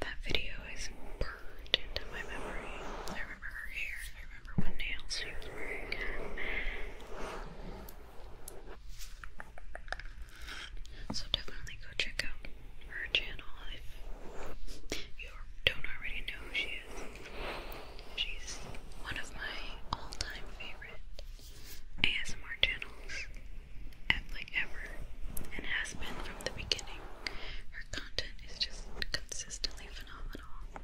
That video is burned into my memory. I remember her hair. I remember what nails So definitely go check out her channel if you don't already know who she is. She's one of my all-time favorite ASMR channels like ever and has been from the beginning. Her content is just consistently phenomenal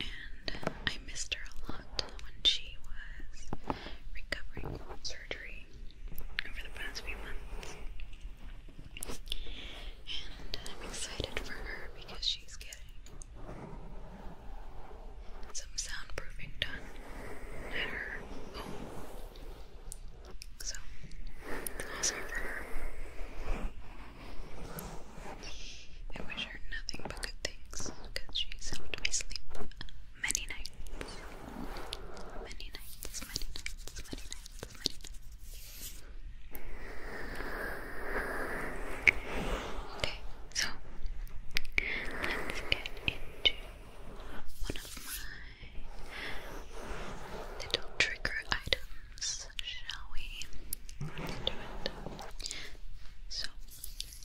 and I missed her a lot when she was recovering from surgery over the past few months. And I'm excited for her because she's getting some soundproofing done at her home so, also I wish her nothing but good things because she's helped me sleep many nights. Many nights, many nights, many nights, many nights. Okay, so let's get into one of my little trigger items, shall we? Let's do it. So,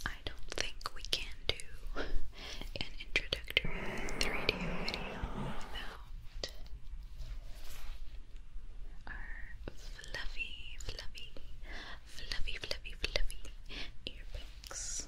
I don't think we can do an introductory 3D video without our fluffy, fluffy, fluffy, fluffy, fluffy earpicks.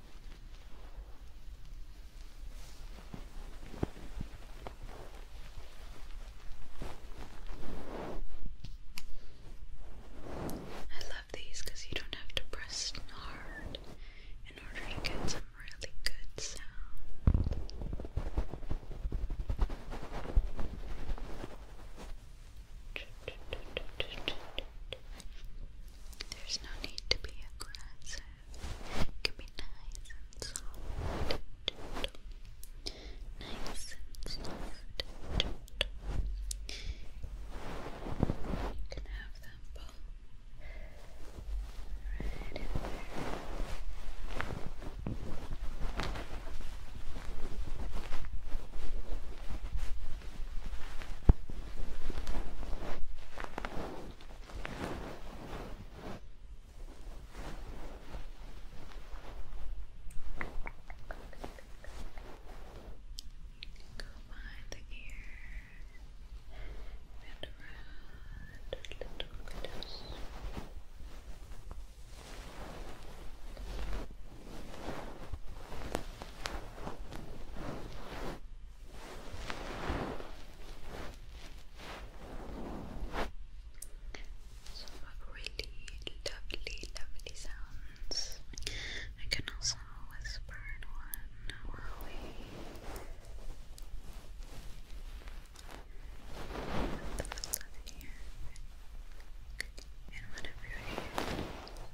I love these because you don't have to press hard in order to get some really good sound. There's no need to be aggressive. It can be nice and soft Nice and soft You can have them both right in there. Go behind the ear and around a little bit. Good. Some really lovely, lovely sounds. I can also whisper in one while we put the in here. And whatever you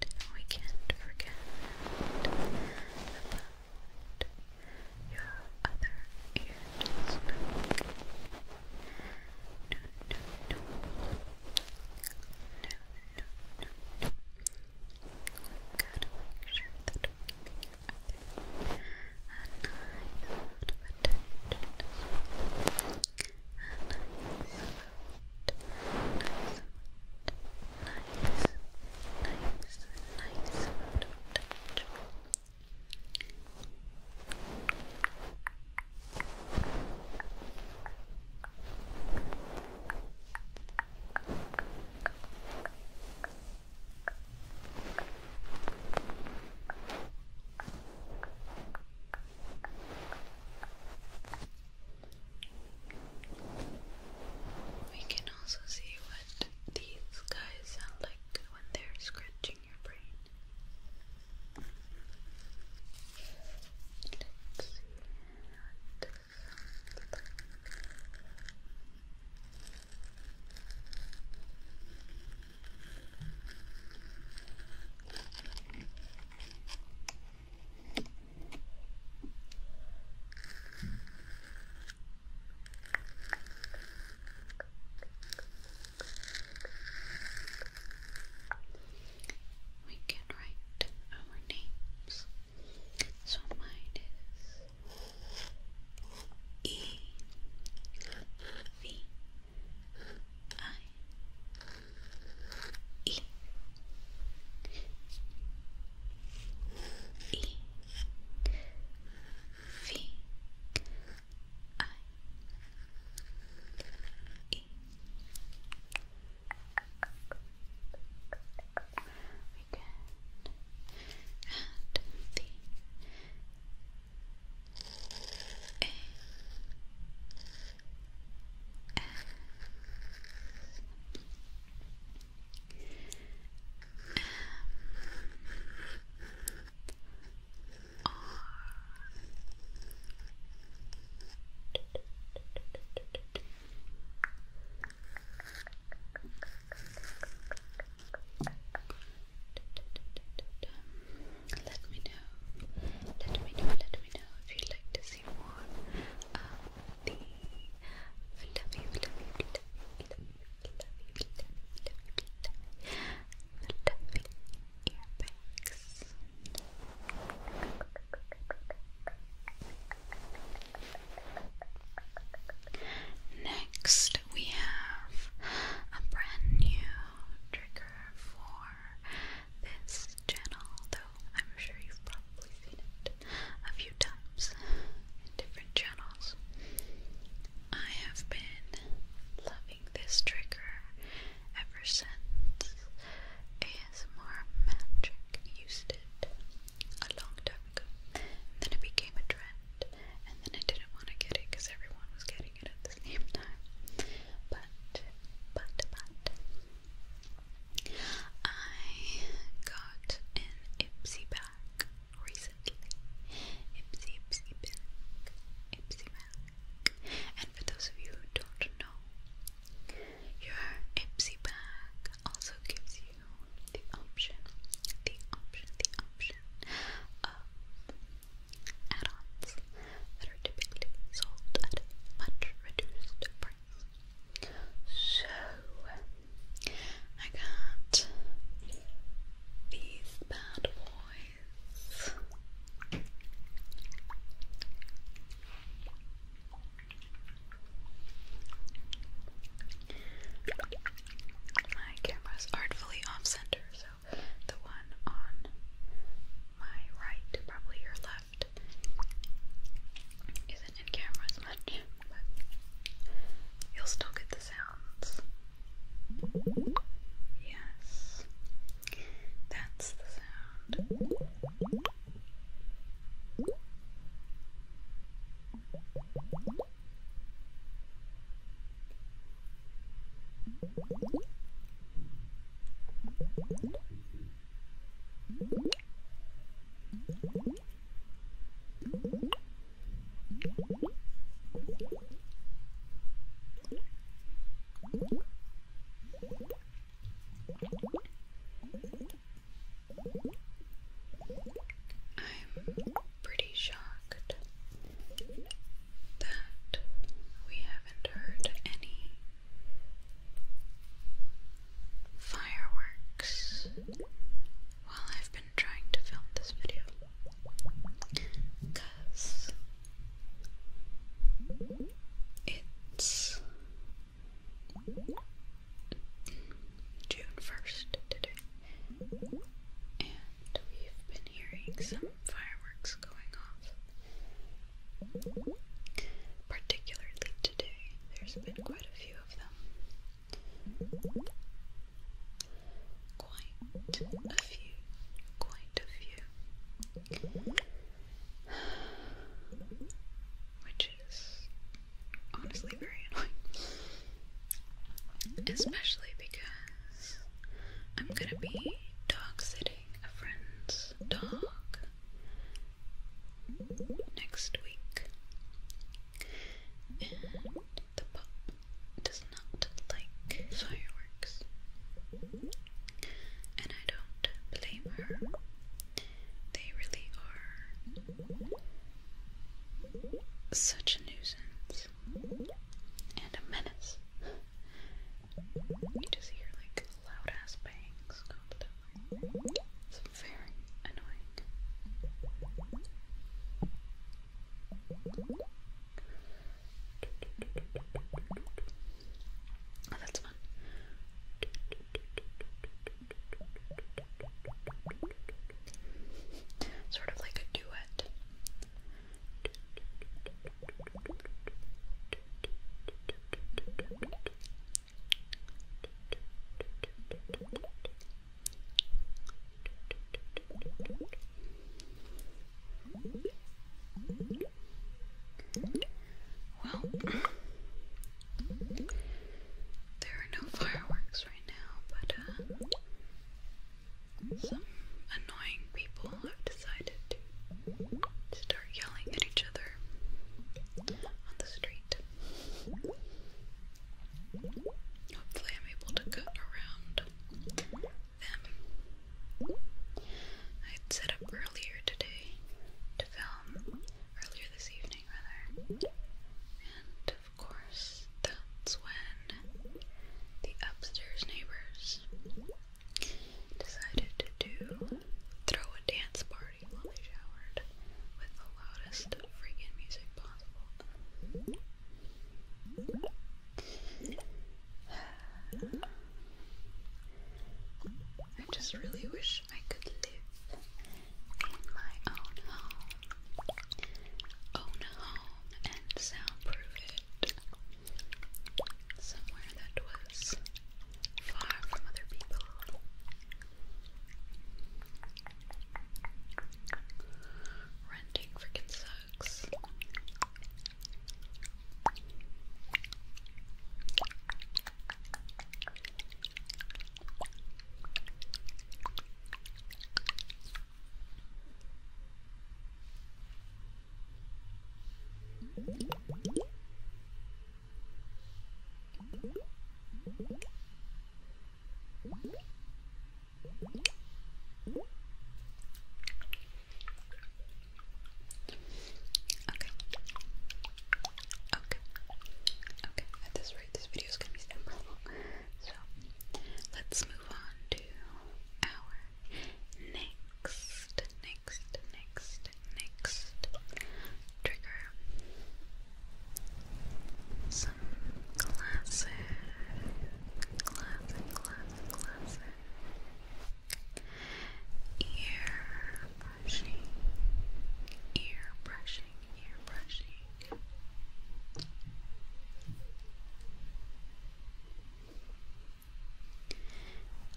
and we can't forget about your other ears. No, no, no. No, no, no, no. we got to make sure that we get your other a nice amount of attention nice, nice, nice touch. Nice, we can also see what these guys sound like when they're scratching your brain. We can write our names. So mine is E V I E. E. V. I. E. We can add the a let me know, let me know, let me know if you like to see more of the earbags. Next, we have a brand new trigger for this channel, though I'm sure you've probably seen it a few times in different channels. I have been loving this trigger ever since ASMR Magic used it a long time ago. And then it became a trend, and then I didn't want to get it because everyone was getting it at the same time. But, but, but, I got an Ipsy bag recently. Ipsy, Ipsy bag, Ipsy bag. And for those of you who don't know, your Ipsy bag also gives you the option, the option, the option of add-ons that are typically sold at much reduced price. So, I got these bad boys. My camera's artfully off center, so the one on my right, probably your left left isn't in camera as much, but you'll still get the sounds. Yes, that's the sound. I'm pretty shocked that we haven't heard any Fireworks. While I've been trying to film this video, because it's June 1st today, and we've been hearing some fireworks going off Particularly today, there's been quite a few of them. Quite a few, quite a few. Which is honestly very annoying. Especially because I'm gonna be dog sitting a friend's dog next week, and the pup does not like fireworks, and I don't blame her. They really are such a nuisance and a menace you just hear like loud ass bangs It's very annoying. Oh, that's fun. Sort of like a duet. Well, there are no fireworks right now, but uh, some annoying people have decided to start yelling at each other on the street. Hopefully, I'm able to cut around them. I'd set up earlier today to film, earlier this evening, rather. And of course, that's when the upstairs neighbors decided to do throw a dance party while they showered with the loudest freaking music possible. I just really wish I could live in my own home, own home and soundproof it somewhere that was far from other people. Renting freaking sucks. Okay. Okay. At this rate, this video is gonna be super So let's move on to our Next, next, next, next trigger. Some classic, classic, classic, classic ear brushing, ear brushing, ear brushing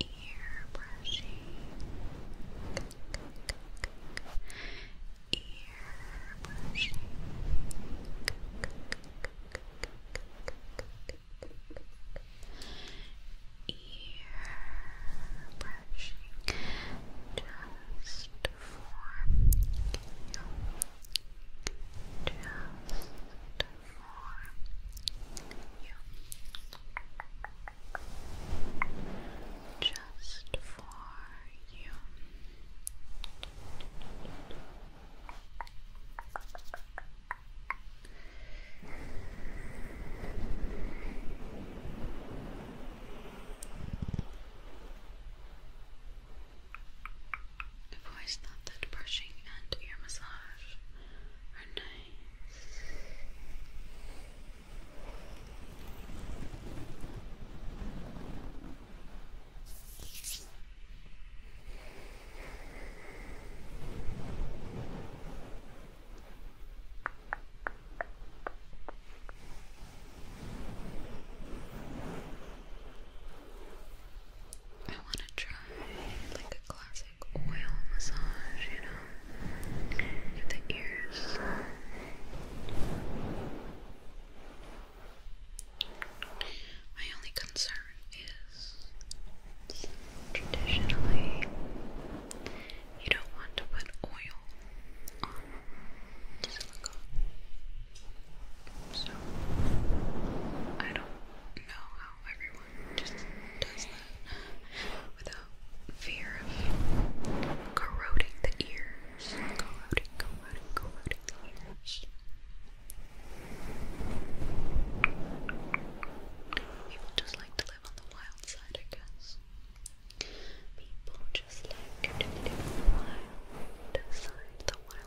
ear brushing, ear brushing. Ear brushing just for you, just you. Just for you voice thought that brushing and ear massage are nice. I want to try like a classic oil massage, you know, with the ears. My only concern is traditionally you don't want to put oil on silicone. So I don't know how everyone just does that without fear of corroding the ears. People just like to live on the wild side, I guess. People just like to live on the wild side, the wild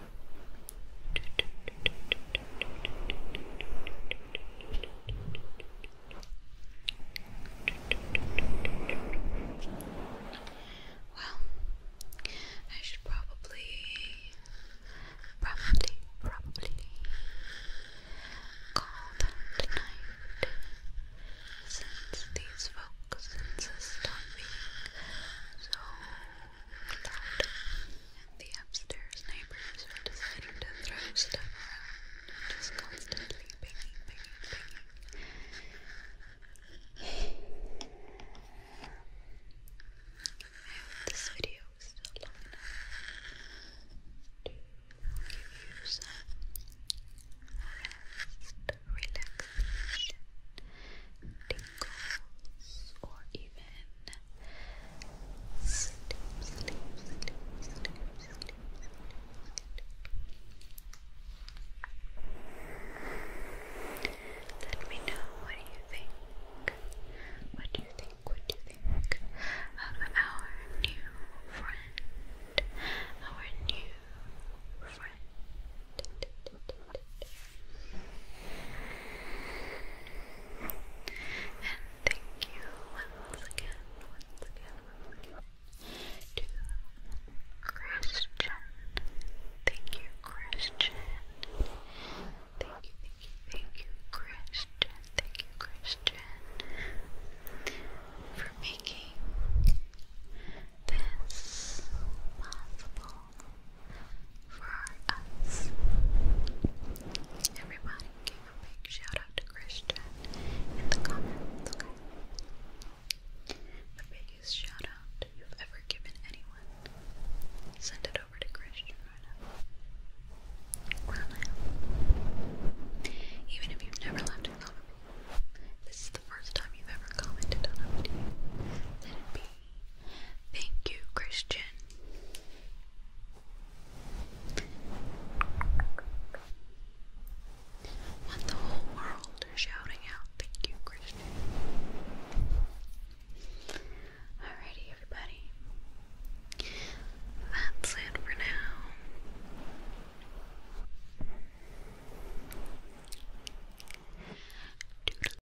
Well, I should probably, probably, probably call that tonight since these folks insist on being so the upstairs neighbors were deciding to throw stuff around, just constantly picking, banging, banging. this video is to give you some rest, relaxation, goals or even sleep, sleep, sleep, sleep, sleep, Let me know what you think. What do you think? What do you think of our new friend? Our new friend. And thank you once again, once again, to Christian. Thank you, Christian. Thank you, thank you, thank you, Christian. Thank you, Christian, for making this possible for us. Everybody give a big shout out to Christian in the comments, The biggest shout out you've ever given anyone. Send it over to Christian Right now. Even if you've never left a comment, this is the first time you've ever commented on a video. Let it be Thank you, Christian. What the whole world shouting out. Thank you, Christian. Alrighty, everybody. That's it for now.